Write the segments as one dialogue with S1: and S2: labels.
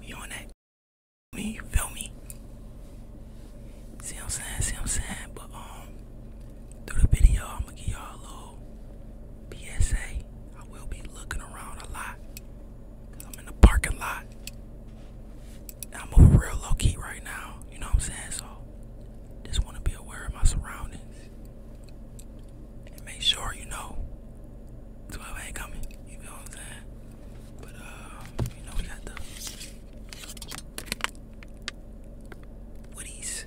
S1: We on that. Me, you feel me? See I'm saying? See I'm saying? But um, through the video, I'm gonna give y'all a little PSA. I will be looking around a lot. i I'm in the parking lot. I'm over real low key right now. You know what I'm saying? So just want to be aware of my surroundings and make sure you know 12 ain't coming. You know what I'm saying? But uh, you know we got the Woodies.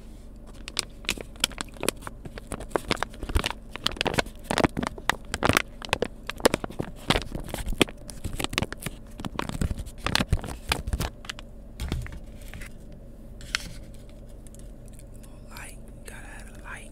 S1: light, gotta light.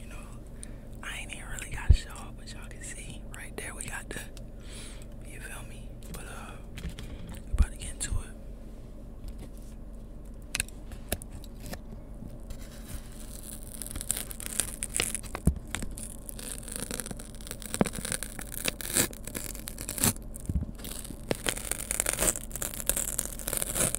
S1: you know, I ain't even really got to show up, but y'all can see right there we got the you feel me? But uh about to get into it.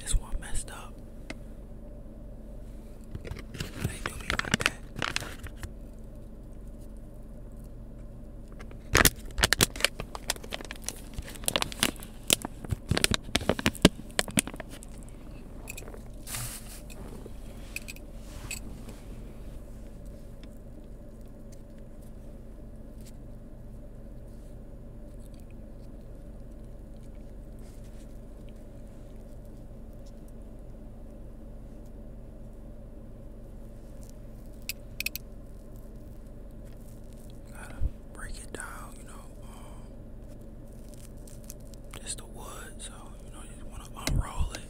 S1: This one messed up. They do me like that. Gotta break it down, you know. Um, the wood, so you know, you just want to unroll it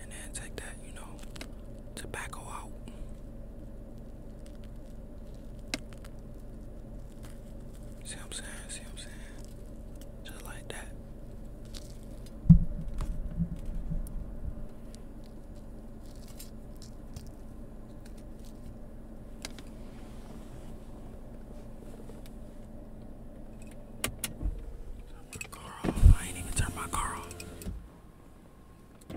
S1: and then take that, you know, tobacco out. See what I'm saying? See what I'm saying? Just like that. Turn my car off. I ain't even turn my car off. I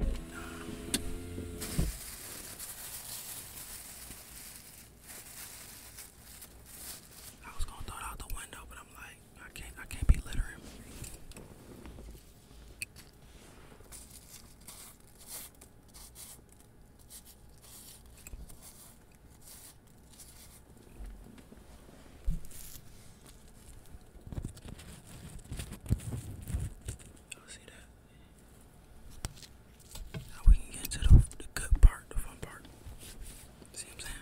S1: was gonna throw it out the window, but I'm like, I can't, I can't be littering you see that? Now we can get to the, the good part, the fun part. See what I'm saying?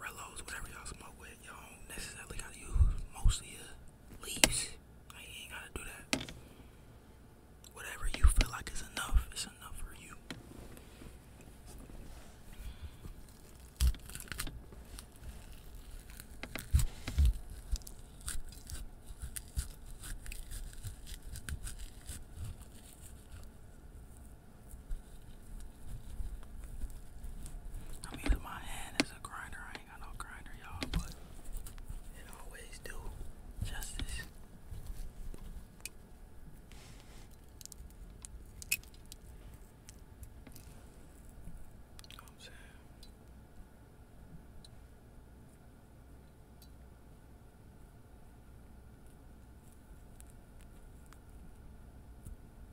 S1: Relos, whatever y'all smoke with, y'all don't necessarily gotta use most of your leaves. ain't gotta do that. Whatever you feel like is enough, it's enough for you. I'm using my hand as a grinder. I ain't got no grinder, y'all, but it always do justice.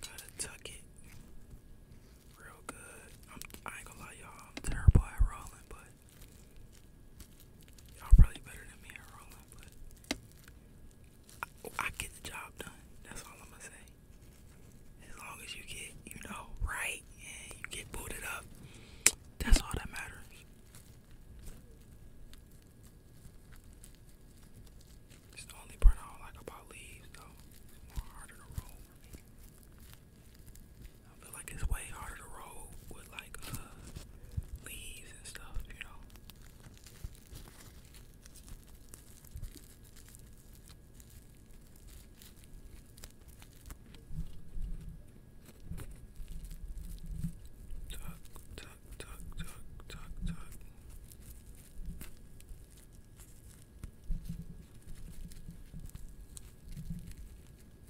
S1: Gotta tuck it real good. i ain't gonna lie, y'all. I'm terrible at rolling, but Y'all probably better than me at rolling, but I get the job done. That's all I'm gonna say. As long as you get, you know, right and you get booted up, that's all that matters. It's the only part I don't like about leaves, though. It's more harder to roll for me. I feel like it's way harder to roll with like uh, leaves and stuff, you know. Tuck, tuck, tuck, tuck, tuck, tuck.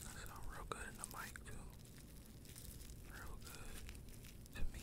S1: I sound real good in the mic too. Real good to me.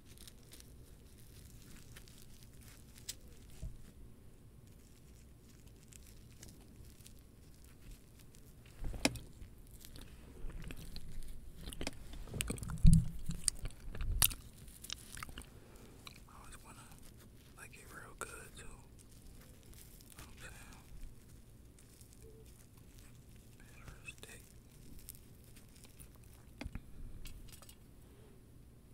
S1: I always wanna like it real good too. You know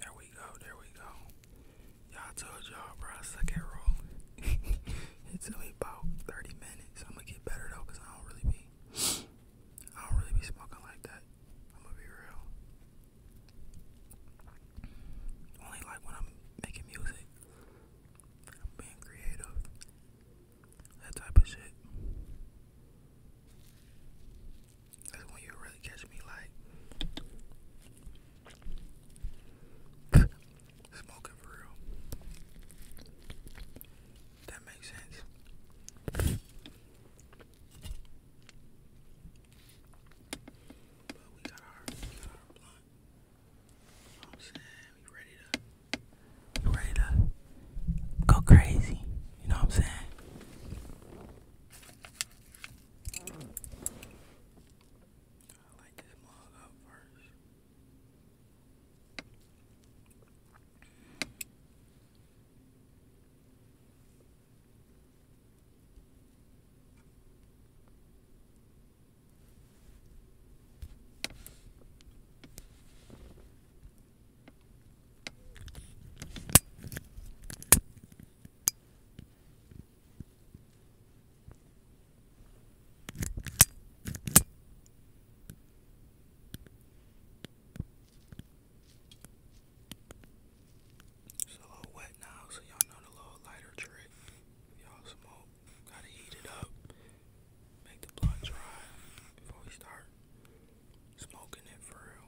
S1: There we go, there we go. Y'all told y'all, bro, I suck at rolling. it took about 30 minutes. I'm gonna get better though, cause I don't really be, I don't really be smoking like that. I'm gonna be real. Only like when I'm making music being creative, that type of shit. That's when you really catch me like smoking for real. That makes sense. But we got our, we you I'm saying? ready to go crazy. You know what I'm saying? It's a little wet now, so y'all know the little lighter trick. Y'all smoke Gotta heat it up. Make the blood dry before we start smoking it for real.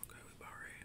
S1: Okay, we about ready.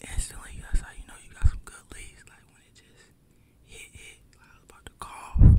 S1: Instantly, that's how you know you got some good leads. Like when it just hit, I was about to cough.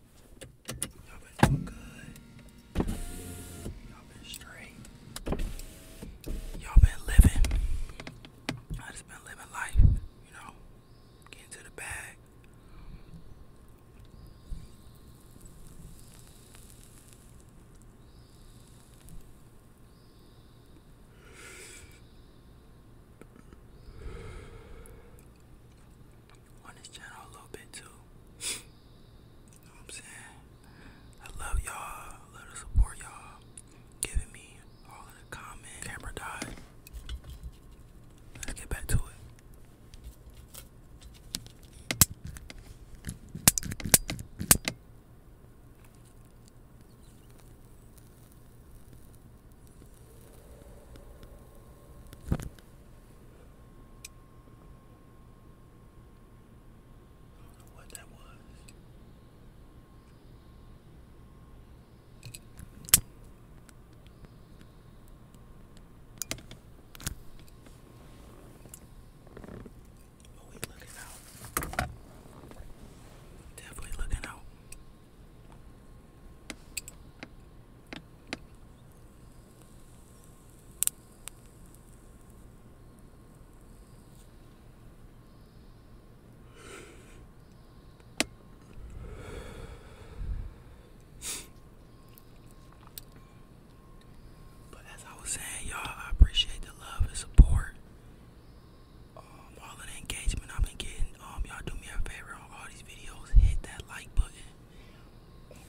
S1: Y'all been doing good. Y'all been straight. Y'all been living. I just been living life, you know. Getting to the bag on this channel a little bit too. I'm saying? I love y'all. I love the support y'all. Giving me all the comments. Camera died. Let's get back to it. I don't know what that was. Oh, we looking out. Definitely looking out. But as I was saying, y'all, I appreciate the love and support. Um, all of the engagement I've been getting. Um, y'all do me a favor on all these videos, hit that like button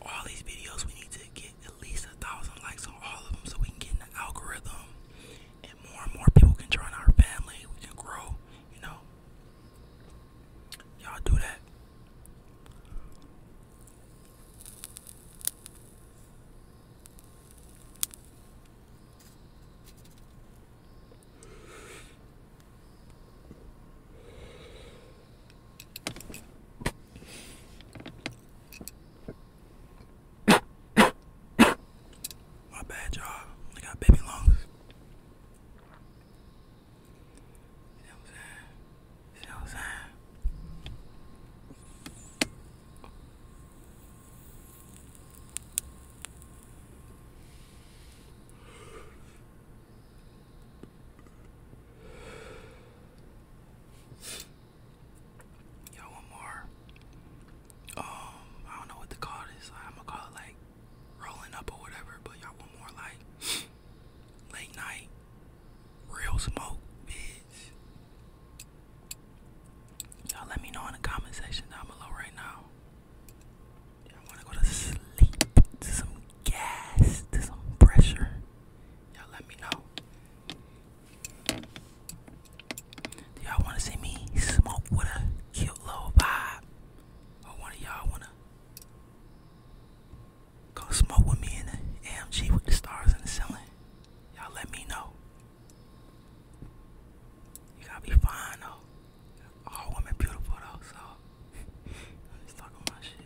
S1: all these videos we need to get at least a thousand likes on all of them so we can get in the algorithm and more and more people can join our family we can grow you know y'all do that my bad, y'all. I got baby lungs. You know what I'm saying? You know what I'm saying? Yo, one more. Um, I don't know what to call this. I'm gonna call it like rolling up or whatever. But y'all want more like late night real smoke, bitch. Y'all let me know in the comment section down below right now. you wanna go to sleep gas to some pressure. Y'all let me know. Do y'all wanna see me smoke with a cute little vibe? Or one of y'all wanna go smoke with me in the AMG with the stars in the ceiling? Y'all let me know. You gotta be fine though. All women beautiful though, so I'm just talking about shit.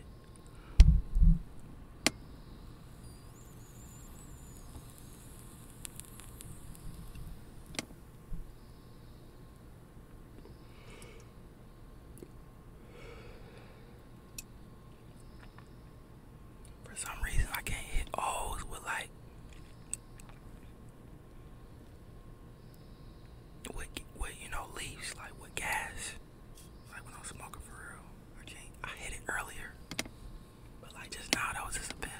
S1: For some reason, I can't hit O's with like with, with you know leaves like with gas. Like when I was smoking for real. I hit it earlier. But like just now that was just a pill.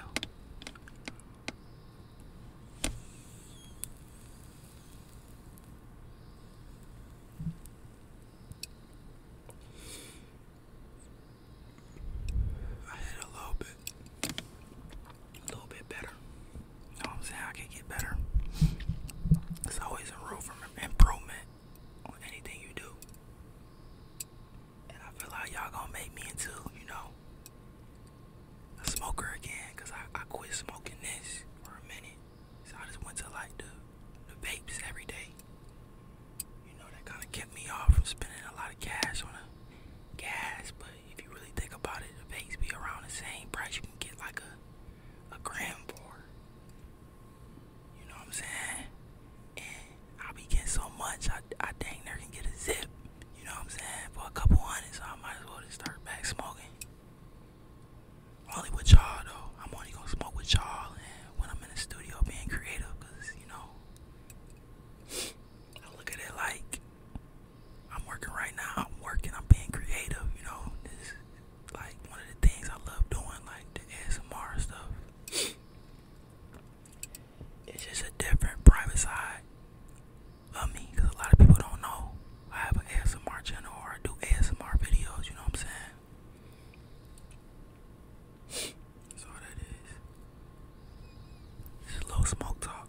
S1: I hit a little bit. A little bit better. I'm saying? I can get better. There's always a room for improvement on anything you do. And I feel like y'all gonna make me into, you know, a smoker again. Cause I, I quit smoking this for a minute. So I just went to like the, the vapes every day. You know, that kind of kept me off from spending a lot of cash on gas. But if you really think about it, the vapes be around the same price. You can get like a a gram for. You know what I'm saying? And I be getting so much, I, I dang near can get a zip. You know what I'm saying? For a couple hundred, I might as well just start back smoking. Only with y'all though. I'm only gonna smoke with y'all when I'm in the studio being creative, you know, look at it like I'm working right now. I'm working. I'm being creative. You know, this like one of the things I love doing, like the ASMR stuff. It's just a different private side of me because a lot of people don't know I have an ASMR channel or I do ASMR videos, you know what I'm saying? That's all that is. This is smoke talk.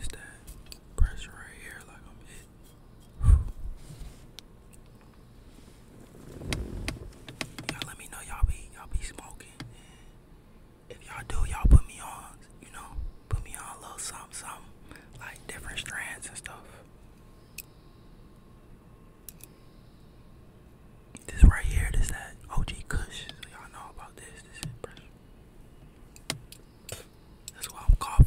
S1: Is that pressure right here like I'm hit? Y'all let me know y'all be y'all be smoking. if y'all do, y'all put me on, you know, put me on a little something, something, like different strands and stuff. This right here, that OG Kush. y'all know about this. That's why I'm coughing.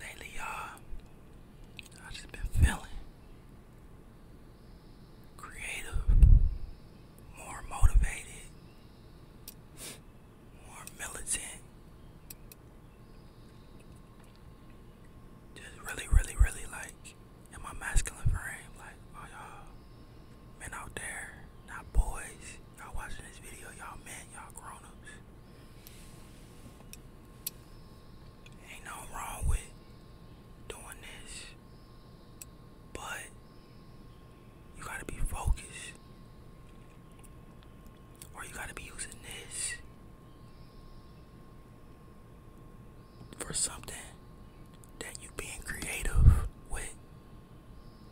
S1: Lately, y'all, I just been feeling creative, more motivated, more militant. Just really, really, really like in my masculine frame, like oh, y'all men out there, not boys, y'all watching this video, y'all men, y'all grown Ain't no wrong with doing this, but you gotta be focused, or you gotta be using this for something that you being creative with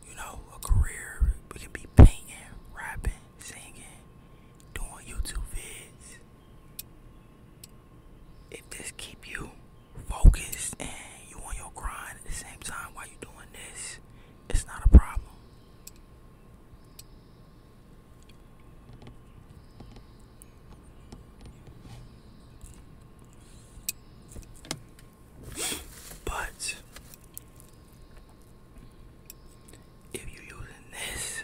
S1: you know, a career. We can be painting, rapping, singing, doing YouTube vids. If this keep you focused and you on your grind at the same time while you doing this, it's not a problem. But if you're using this,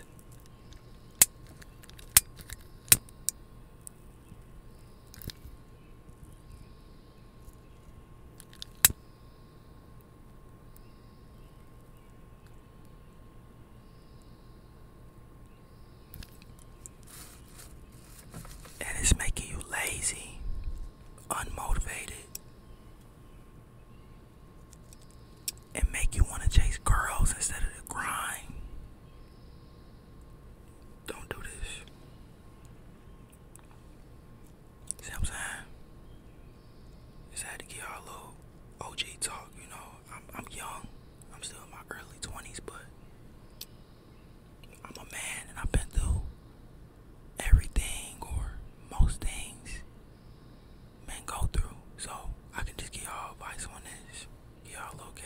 S1: and it's making you lazy, unmotivated, and make you want to chase girls instead of the grind. Don't do this. See what I'm saying? Just had to get our little OG talk, you know. I'm, I'm young. I'm still in my early 20s, but I'm a man and I've been through everything or most things men go through. So I can just give y'all advice on this. Y'all okay?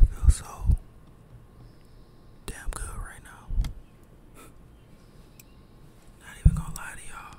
S1: I feel so damn good right now. Not even gonna lie to y'all.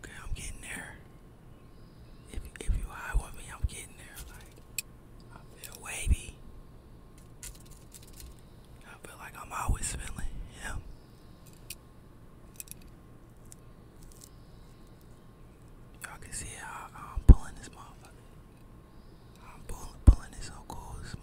S1: Okay, I'm getting there. If if you high with me, I'm getting there. Like I feel wavy. I feel like I'm always feeling him. Y'all can see how I'm pulling this motherfucker. I'm pull, pulling this so cool, it's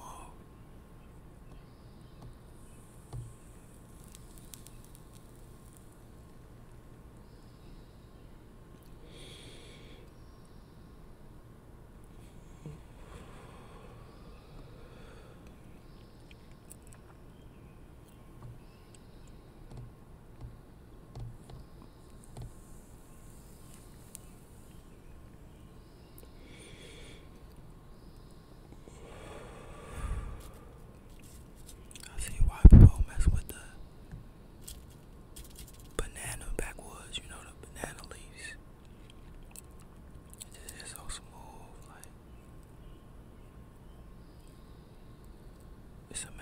S1: I see why people mess with the banana backwoods, you know, the banana leaves. It's so smooth, like it's amazing.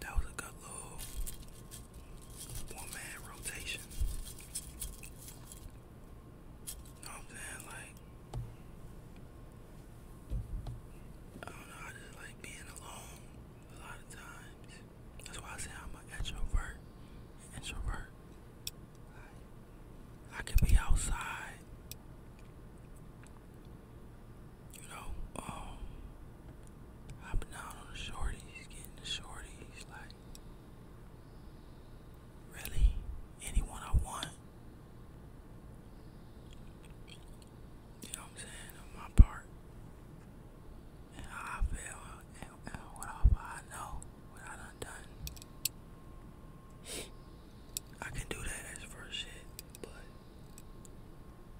S1: That was a good little one man rotation. You know what I'm saying? Like I don't know, I just like being alone a lot of times. That's why I say I'm an introvert. introvert. I can be outside. You know, hopping down on the shorties, getting the shorties, like, really, anyone I want. You know what I'm saying? On my part. I feel uh, and, what I know, what I done done. I can do that extrovert shit, but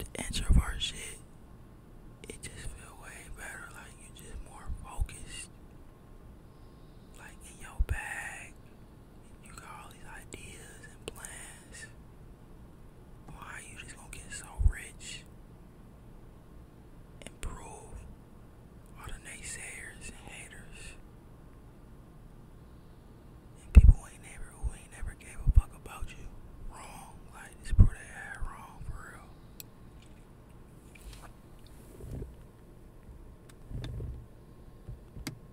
S1: the introvert shit, it just feel way better. Like you just more focused, like in your bag. You got all these ideas and plans. Why you just gonna get so rich? And all the naysayers and haters. And people who ain't never who ain't never gave a fuck about you. Wrong. Like this prove they wrong for real.